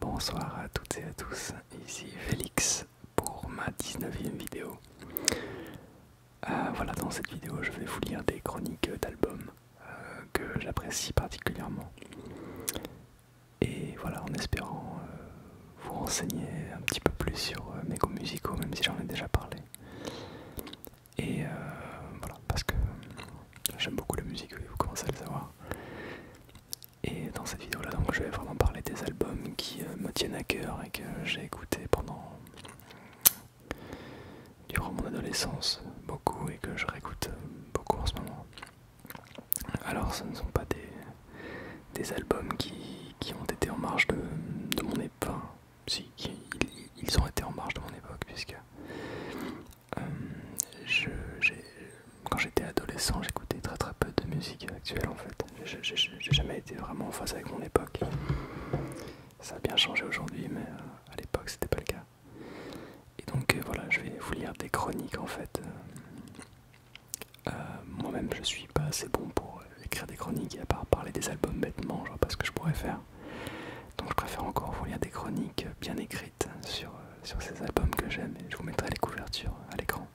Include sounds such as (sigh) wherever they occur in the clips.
Bonsoir à toutes et à tous, ici Félix pour ma 19e vidéo. Euh, voilà, dans cette vidéo, je vais vous lire des chroniques d'albums euh, que j'apprécie particulièrement. Et voilà, en espérant euh, vous renseigner un petit peu plus sur mes goûts musicaux, même si j'en ai déjà parlé. Et euh, voilà, parce que j'aime beaucoup la musique, vous commencez à le savoir. Et dans cette vidéo-là, donc je vais vraiment parler des albums qui euh, me tiennent à cœur et que j'ai écouté pendant durant mon adolescence beaucoup et que je réécoute euh, beaucoup en ce moment. Alors ce ne sont pas des, des albums qui, ont été en marge de, mon époque. si, ils ont été en marge de mon époque puisque euh, quand j'étais adolescent, j'écoutais très très peu de musique actuelle en fait. J'ai jamais été vraiment en phase avec mon époque. Ça a bien changé aujourd'hui, mais euh, à l'époque c'était pas le cas. Et donc euh, voilà, je vais vous lire des chroniques en fait. Moi-même, je suis pas assez bon pour écrire des chroniques à part parler des albums bêtement, genre parce que je pourrais faire. Donc je préfère encore vous lire des chroniques bien écrites sur, euh, sur ces albums que j'aime et je vous mettrai les couvertures à l'écran.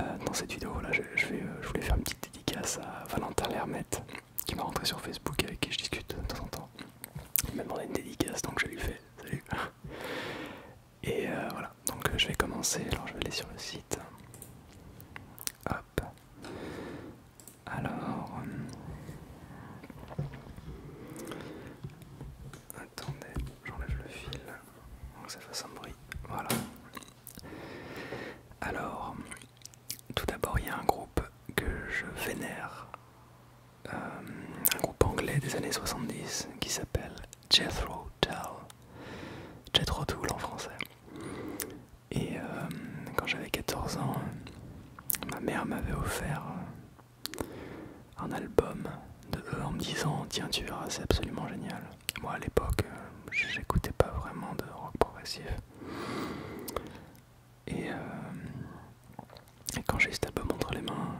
Euh, dans cette vidéo, là, je, vais, euh, je voulais faire une petite dédicace à Valentin Lermette qui m'a rentré sur Facebook et avec qui je discute de temps en temps. Il m'a demandé une dédicace donc je lui fais salut. Et voilà, donc je vais commencer. Alors je vais aller sur le site. Hop. Alors, euh, attendez, j'enlève le fil ça fasse un bruit. Voilà. Alors, tout d'abord, il y a un groupe que je vénère, euh, un groupe anglais des années 70 qui s'appelle Jethro Tull. Jethro Tull en français. Et euh, quand j'avais 14 ans, ma mère m'avait offert euh, un album de e en me disant Tiens, tu verras, c'est absolument génial. Moi à l'époque, euh, j'écoutais pas vraiment de rock progressif. Et, quand j'ai cet album entre les mains,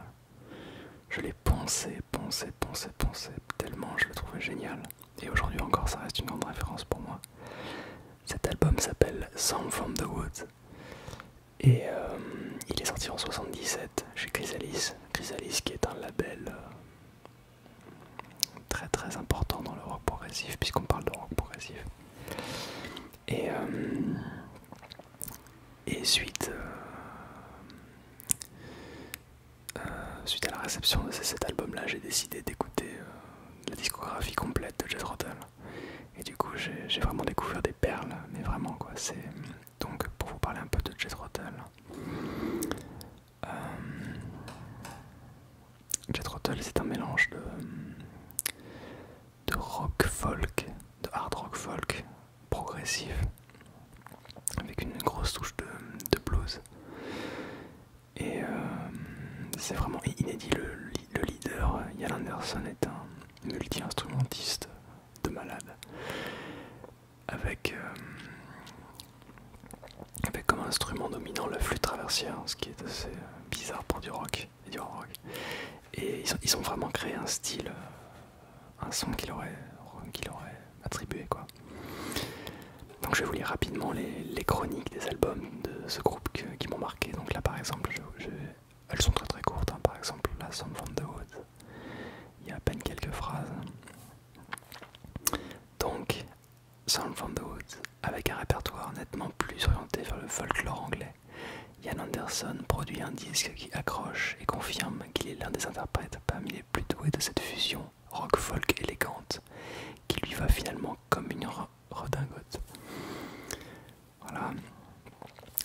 je l'ai poncé, poncé, poncé, poncé, tellement je le trouvais génial. Et aujourd'hui encore, ça reste une grande référence pour moi. Cet album s'appelle Song from the Woods et euh, il est sorti en 77 chez Chrysalis. Chrysalis qui est un label euh, très très important dans le rock progressif puisqu'on parle de rock progressif. Et, euh, suite, suite à la réception de cet album là j'ai décidé d'écouter la discographie complète de Jeff Rotel. Et du coup, j'ai vraiment découvert des perles, mais vraiment quoi. C'est donc pour vous parler un peu de Jet Rotel. Jet c'est un mélange de, de rock folk, de hard rock folk progressif, avec une grosse touche de blues. Et euh, c'est vraiment inédit. Le, leader, Yann euh, Anderson, est un multi-instrumentiste de malade. Avec, euh, avec comme instrument dominant le flûte traversière, ce qui est assez bizarre pour du rock et du rock. Et ils, ils ont vraiment créé un style, un son qu'il aurait, qu'il aurait attribué. quoi. Donc je vais vous lire rapidement les, chroniques des albums de ce groupe qui m'ont marqué. Donc là par exemple, elles sont très très courtes. Hein. Par exemple, là, Sound from the Woods, il y a à peine quelques phrases. Donc, Sound from the Woods, avec un répertoire nettement plus orienté vers le folklore anglais, Ian Anderson produit un disque qui accroche et confirme qu'il est l'un des interprètes parmi les plus doués de cette fusion rock folk élégante qui lui va finalement comme une redingote. Voilà.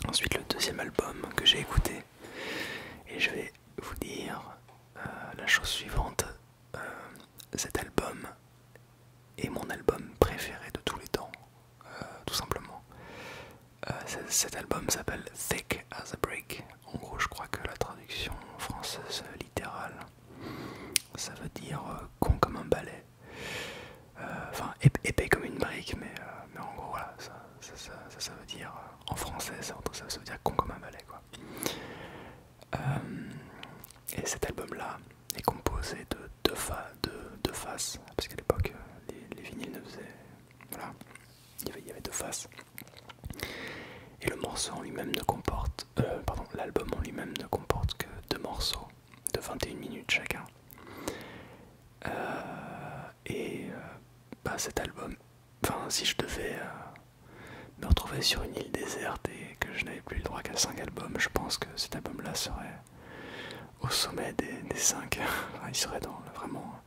Ensuite le deuxième album que j'ai écouté et je vais vous dire euh, la chose suivante. Euh, cet album est mon album préféré de tous les temps, euh, tout simplement. cet album s'appelle Thick as a Break. En gros, je crois que la traduction française littérale euh, euh, ça veut dire con comme un balai. Enfin, épais comme une brique, mais, en gros, voilà, ça, veut dire, en français, ça, veut dire con comme un ballet quoi. Euh, et cet album-là est composé de deux, faces, parce qu'à l'époque, les, vinyles ne faisaient... Voilà, il y avait deux faces et le morceau en lui-même ne comporte, euh, l'album en lui-même ne comporte que deux morceaux de 21 minutes chacun. Euh, et euh, bah, cet album, enfin si je devais me retrouver sur une île déserte et que je n'avais plus le droit qu'à cinq albums, je pense que cet album-là serait au sommet des cinq. (laughs) Il serait dans, vraiment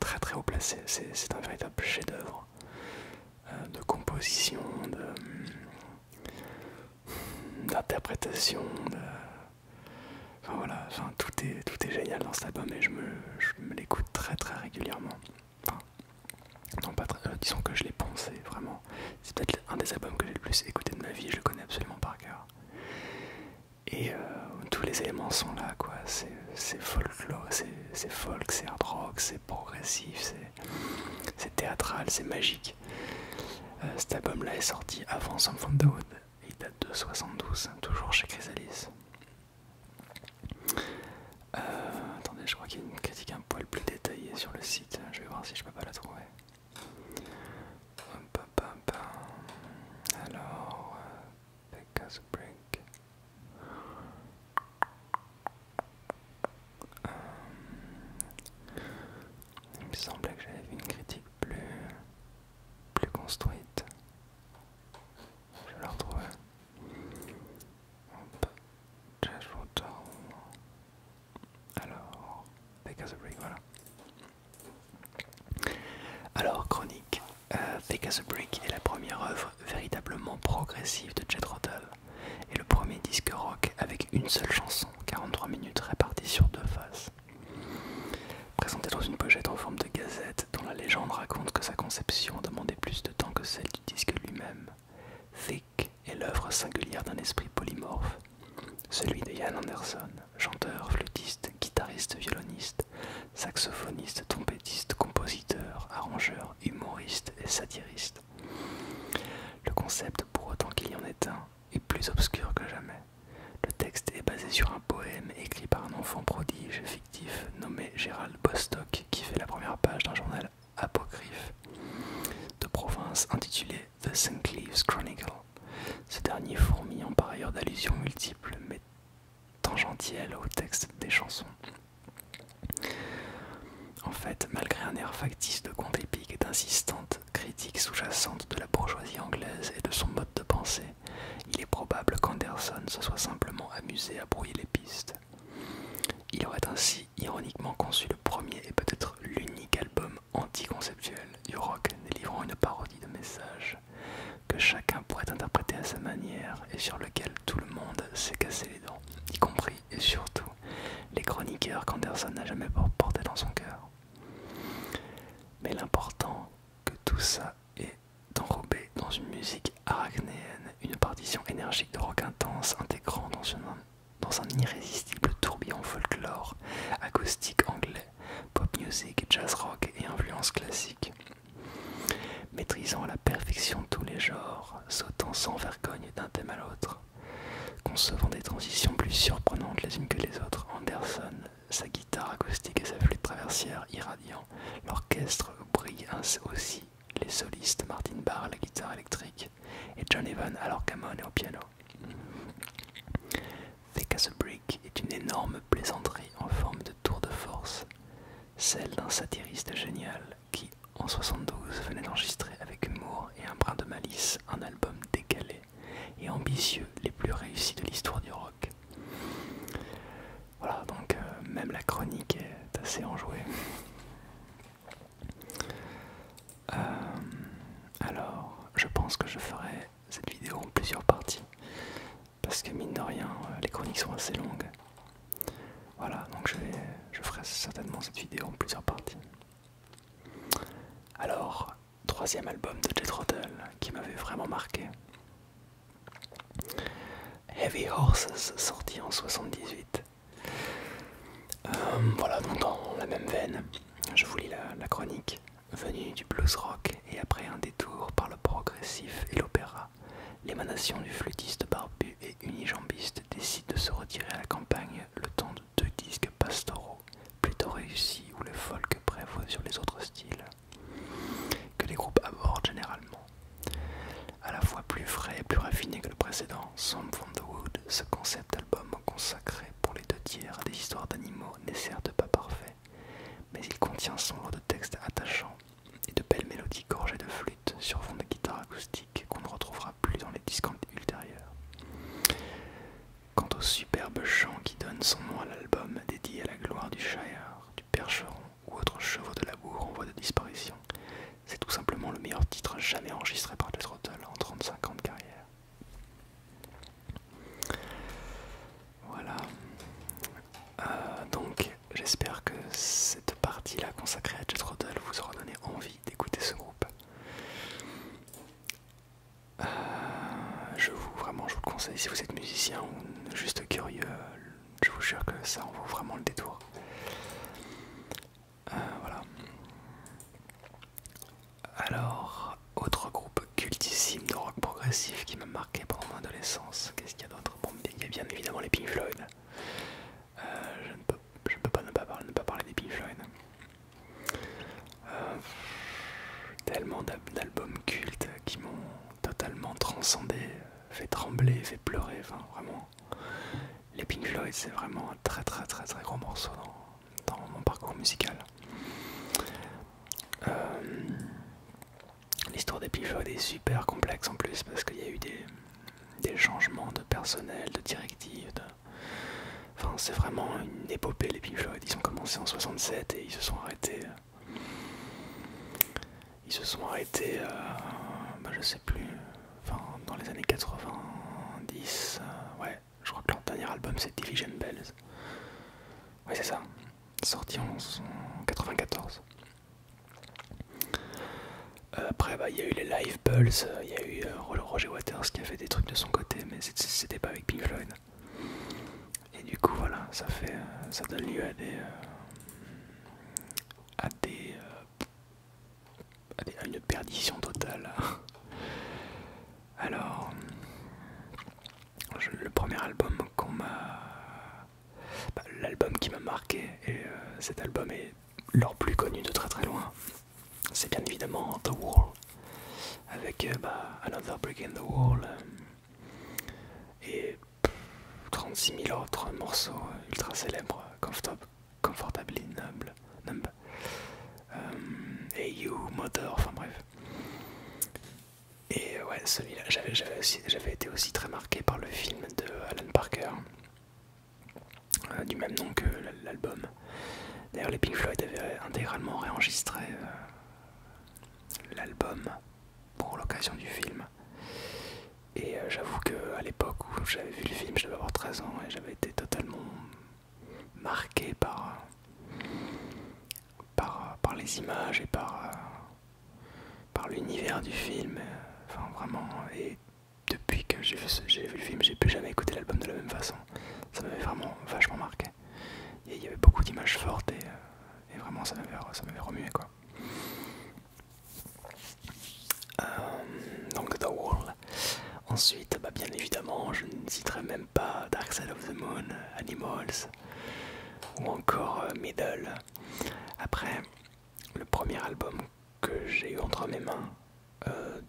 très très haut placé. C'est un véritable chef-d'œuvre. Euh, de composition, euh, d'interprétation, de... voilà, tout, est, tout est génial dans cet album et je me, l'écoute très très régulièrement. pas euh, disons que je l'ai pensé vraiment. C'est peut-être un des albums que j'ai le plus écouté de ma vie, je le connais absolument par cœur. Et tous les éléments sont là, quoi. C'est folklore, c'est folk, c'est hard rock, c'est progressif, c'est c'est théâtral, c'est magique. Euh, cet album-là est sorti avant Sound from the il date de 72, toujours chez Chrysalis. Euh, attendez, je crois qu'il y a une critique un poil plus détaillée sur le site, je vais voir si je peux pas la trouver. Hum, Alors, euh, euh, il me semblait que j'avais vu une critique plus, construite. Je la retrouve. Hop. Alors, Fake as a Brick, voilà. Alors, Chronique. Take as a Brick est la première œuvre véritablement progressif de Jet Rotal et le premier disque rock avec une seule chanson, 43 minutes réparties sur deux faces. Présenté dans une pochette en forme de gazette, dont la légende raconte que sa conception demandait plus de temps que celle du disque lui-même, Thick est l'œuvre singulière d'un esprit polymorphe, celui de Jan Anderson, chanteur, flûtiste, guitariste, violoniste, saxophoniste, trompettiste, compositeur, arrangeur, humoriste et satiriste. Le concept, pour autant qu'il y en ait un, est plus obscur que jamais. Le texte est basé sur un poème écrit par un enfant prodige fictif nommé Gérald Bostock qui fait la première page d'un journal apocryphe de province intitulé The St. Cleve's Chronicle. Ce dernier en par ailleurs d'allusions multiples mais tangentielle au texte des chansons. En fait, malgré un air factice de conte épique et d'insistantes critique sous-jacente de la bourgeoisie anglaise et de son mode de pensée, il est probable qu'Anderson se soit simplement amusé à brouiller les pistes. Il aurait ainsi ironiquement conçu le premier et peut-être l'unique album anticonceptuel du rock délivrant une parodie de messages que chacun pourrait interpréter à sa manière et sur tout le monde s'est cassé les dents, y compris et surtout les chroniqueurs qu'Anderson n'a jamais porté dans son cœur. Mais l'important que tout ça est enrobé dans une musique arachnéenne une partition énergique de rock intense intégrant dans, dans un irrésistible tourbillon folklore, acoustique anglais, pop music, jazz rock et influences classique. Maîtrisant à la perfection tous les genres, sautant sans vergogne d'un thème à l'autre, concevant des transitions plus surprenantes les unes que les autres, Anderson, sa guitare acoustique et sa flûte traversière irradiant, l'orchestre brille aussi les solistes Martin Barr à la guitare électrique et John Evan à l'orgamone et au piano. Thick as a Brick est une énorme plaisanterie en forme de tour de force, celle d'un satiriste génial qui, en 72, venait d'enregistrer avec humour et un brin de malice un album décalé et ambitieux, les plus réussis de l'histoire du rock. Voilà, donc euh, même la chronique est assez enjouée. Euh, alors, je pense que je ferai cette vidéo en plusieurs parties parce que mine de rien, euh, les chroniques sont assez longues. Voilà, donc je, je ferai certainement cette vidéo en plusieurs parties. Alors, troisième album de J. Trottle qui m'avait vraiment marqué. Heavy Horses, sorti en 78. Euh, voilà, donc dans la même veine, je vous lis la chronique. Venue du blues rock et après un détour par le progressif et l'opéra, l'émanation du flûtiste barbu et unijambiste décide de se retirer à la campagne le temps de deux disques pastoraux, plutôt réussis où le folk prévoit sur les autres styles, que les groupes abordent généralement. À la fois plus frais et plus raffiné que le précédent, Some from the Wood, ce concept album consacré pour les deux tiers à des histoires d'animaux n'est certes pas parfait, mais il contient son lot de textes attachants et de belles mélodies gorgées de flûte sur fond de guitare acoustique qu'on ne retrouvera plus dans les disques ultérieurs. Quant au superbe chant qui donne son nom à l'album dédié à la gloire du Shire, du Percheron ou autres chevaux de labour en voie de disparition, c'est tout simplement le meilleur titre jamais enregistré par le Tull en 35 ans de carrière. Voilà. Euh, donc j'espère que cette partie-là consacrée à Jet Rodel vous aura donné envie d'écouter ce groupe. Euh, je vous vraiment le conseille si vous êtes musicien ou juste curieux, je vous jure que ça en vaut vraiment le détour. Euh, voilà. Alors, autre groupe cultissime de rock progressif qui m'a marqué pendant mon adolescence. Qu'est-ce qu'il y a d'autre Bon, il y a bien évidemment les Pink Floyd. Euh, je, ne peux, pas ne pas parler, des Pink Floyd. Euh, tellement d'albums cultes qui m'ont totalement transcendé, fait trembler, fait pleurer, enfin vraiment. Les Pink Floyd, c'est vraiment un très très très très grand morceau dans, mon parcours musical. Euh, L'histoire des est super complexe en plus parce qu'il y a eu des, changements de personnel, de directives. Enfin, c'est vraiment une épopée les pivotes. Ils ont commencé en 67 et ils se sont arrêtés. Euh, ils se sont arrêtés, euh, bah, je sais plus, enfin, dans les années 90. Euh, ouais, je crois que leur dernier album c'est Division Bells. Ouais, c'est ça sorti en 1994. Euh, après, bah, il y a eu les Live Pulse, il y a eu euh, Roger Waters qui a fait des trucs de son côté, mais c'était pas avec Pink Floyd. Et du coup, voilà, ça, fait, euh, ça donne lieu à à des. à, des, à une perdition totale. Alors le premier album qu'on m'a. Bah, l'album qui m'a marqué, et euh, cet album est leur plus connu de très très loin, c'est bien évidemment The Wall, avec euh, bah, Another Brick in the Wall euh, et 36 000 autres morceaux ultra célèbres, Comfortably Numb, You, Mother, enfin bref. Et euh, ouais, celui-là, j'avais été aussi très marqué par le film de Alan Parker, euh, du même nom que l'album. D'ailleurs, les Pink Floyd avaient intégralement réenregistré euh, l'album pour l'occasion du film. Et j'avoue qu'à l'époque où j'avais vu le film, je devais avoir 13 ans et j'avais été totalement marqué par, euh, par, les images et par, euh, l'univers du film. Euh, vraiment, et depuis que j'ai vu, vu le film, j'ai plus jamais écouté l'album de la même façon. Ça m'avait vraiment vachement marqué. il y avait beaucoup d'images fortes et, vraiment ça m'avait remué quoi. donc The Ensuite, bah, bien évidemment, je ne citerai même pas Dark Side of the Moon, Animals, ou encore euh, Middle. Après, le premier album que j'ai eu entre mes mains,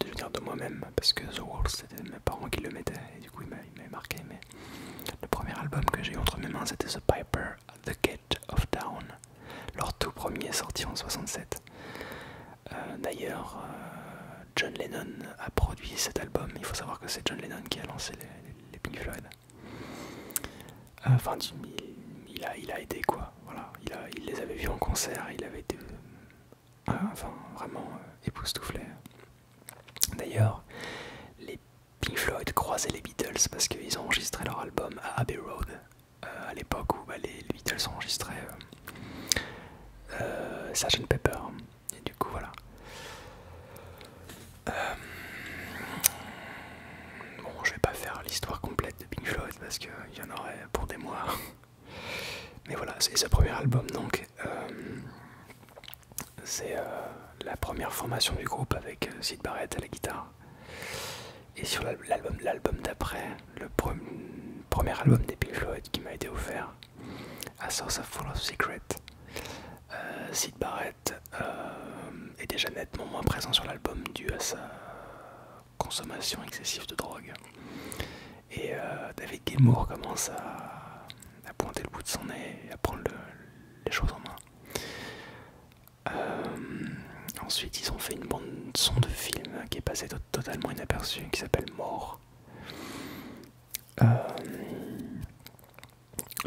devenir euh, de de moi-même, parce que The world c'était mes parents qui le mettaient et du coup il m'a marqué, mais le premier album que j'ai eu entre mes mains c'était The Piper at the Gate of town leur tout premier sorti en 67. Euh, d'ailleurs, John Lennon a produit cet album. Il faut savoir que c'est John Lennon qui a lancé les, Pink Floyd. Euh, enfin, il, a, il aidé quoi. il, les avait vus en concert, il avait été euh, vraiment euh, époustouflé. D'ailleurs, les Pink Floyd croisaient les Beatles parce qu'ils ont enregistré leur album à Abbey Road, à l'époque où bah, les, Beatles enregistraient. enregistré Pepper et du coup voilà. Euh, bon, je vais pas faire l'histoire complète de Pink Floyd parce qu'il y en aurait pour des mois. (laughs) Mais voilà, c'est sa premier album donc. Euh, c'est euh, la première formation du groupe avec Sid Barrett à la guitare. Et sur l'album d'après, le premier album des Pink Floyd qui m'a été offert, à A Source of Full of Secret. Euh, Sid Barrett euh, est déjà nettement moins présent sur l'album dû à sa consommation excessive de drogue. Et euh, David Gilmour commence à, pointer le bout de son nez et à prendre les choses en main. ensuite, ils ont fait une bande son de film qui est passée totalement inaperçue, qui s'appelle Mort. Euh,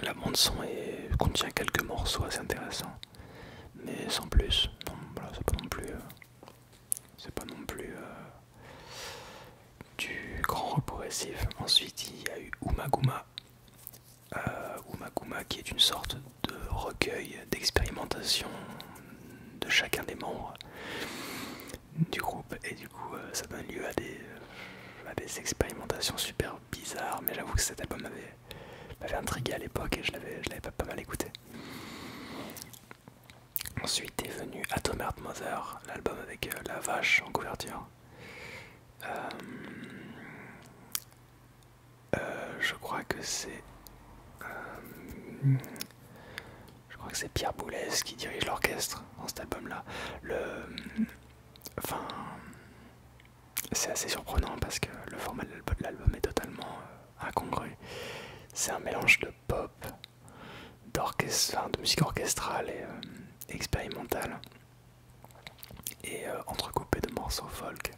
la bande son contient quelques morceaux assez intéressants, mais sans plus. c'est pas non plus, euh, c'est pas non plus euh, du grand rock progressif. Ensuite, il y a eu Umaguma, Umaguma qui est une sorte de recueil d'expérimentation de chacun des membres du groupe et du coup euh, ça donne lieu euh, à des, expérimentations super bizarres mais j'avoue que cet album m'avait intrigué à l'époque et je l'avais pas, pas mal écouté. Ensuite est venu Atom Heart Mother, l'album avec euh, la vache en couverture. je crois que c'est je crois que c'est Pierre Boulez qui dirige l'orchestre dans cet album-là. enfin, c'est assez surprenant parce que le format de l'album est totalement euh, incongru. C'est un mélange de pop, d'orchestre, de musique orchestrale et euh, expérimentale, et euh, entrecoupé de morceaux folk.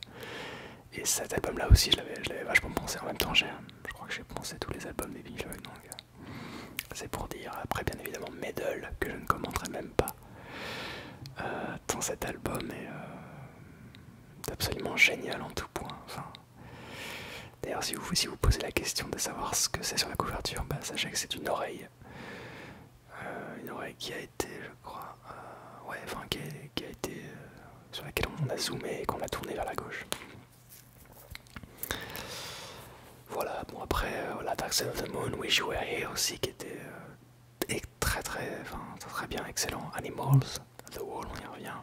Et cet album-là aussi, je l'avais vachement pensé en même temps. Je crois que j'ai pensé tous les albums des Pink donc. C'est pour dire, après bien évidemment Medal, que je ne commenterai même pas. Euh, dans cet album euh, est, absolument génial en tout point. D'ailleurs, si vous, vous posez la question de savoir ce que c'est sur la couverture, bah, sachez que c'est une oreille. Euh, une oreille qui a été, je crois, ouais, enfin, qui été, sur laquelle on a zoomé et qu'on a tourné vers la gauche. Voilà, bon après, euh, la Dark of the Moon, Wish You aussi, qui était euh, très très, très bien, excellent. Animals, The Wall, on y revient.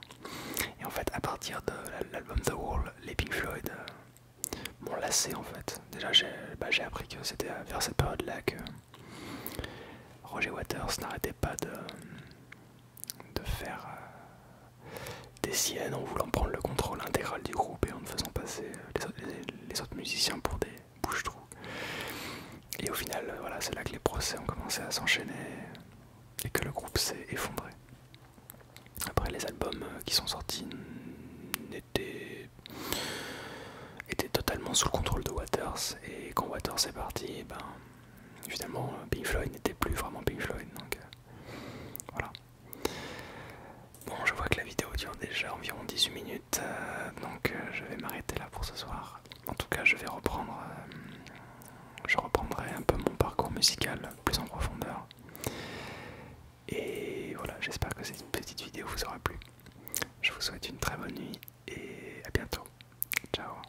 Et en fait, à partir de l'album The Wall, les Pink Floyd euh, m'ont lassé en fait. Déjà, bah, j'ai appris que c'était vers cette période-là que Roger Waters n'arrêtait pas de, de faire euh, des siennes en voulant prendre le contrôle intégral du groupe et en faisant passer euh, les autres, musiciens pour des bouche trous Et au final, euh, voilà, c'est là que les procès ont commencé à s'enchaîner et que le groupe s'est effondré. Après, les albums qui sont sortis étaient, totalement sous le contrôle de Waters. Et quand Waters est parti, ben, finalement, Pink Floyd n'était plus vraiment Pink Floyd voilà. Bon, je vois que la vidéo dure déjà environ 18 minutes, euh, donc euh, je vais m'arrêter là pour ce soir. En tout cas, je vais reprendre, euh, je reprendrai un peu mon parcours musical plus en profondeur. Et voilà, j'espère que cette petite vidéo vous aura plu. Je vous souhaite une très bonne nuit et à bientôt. Ciao.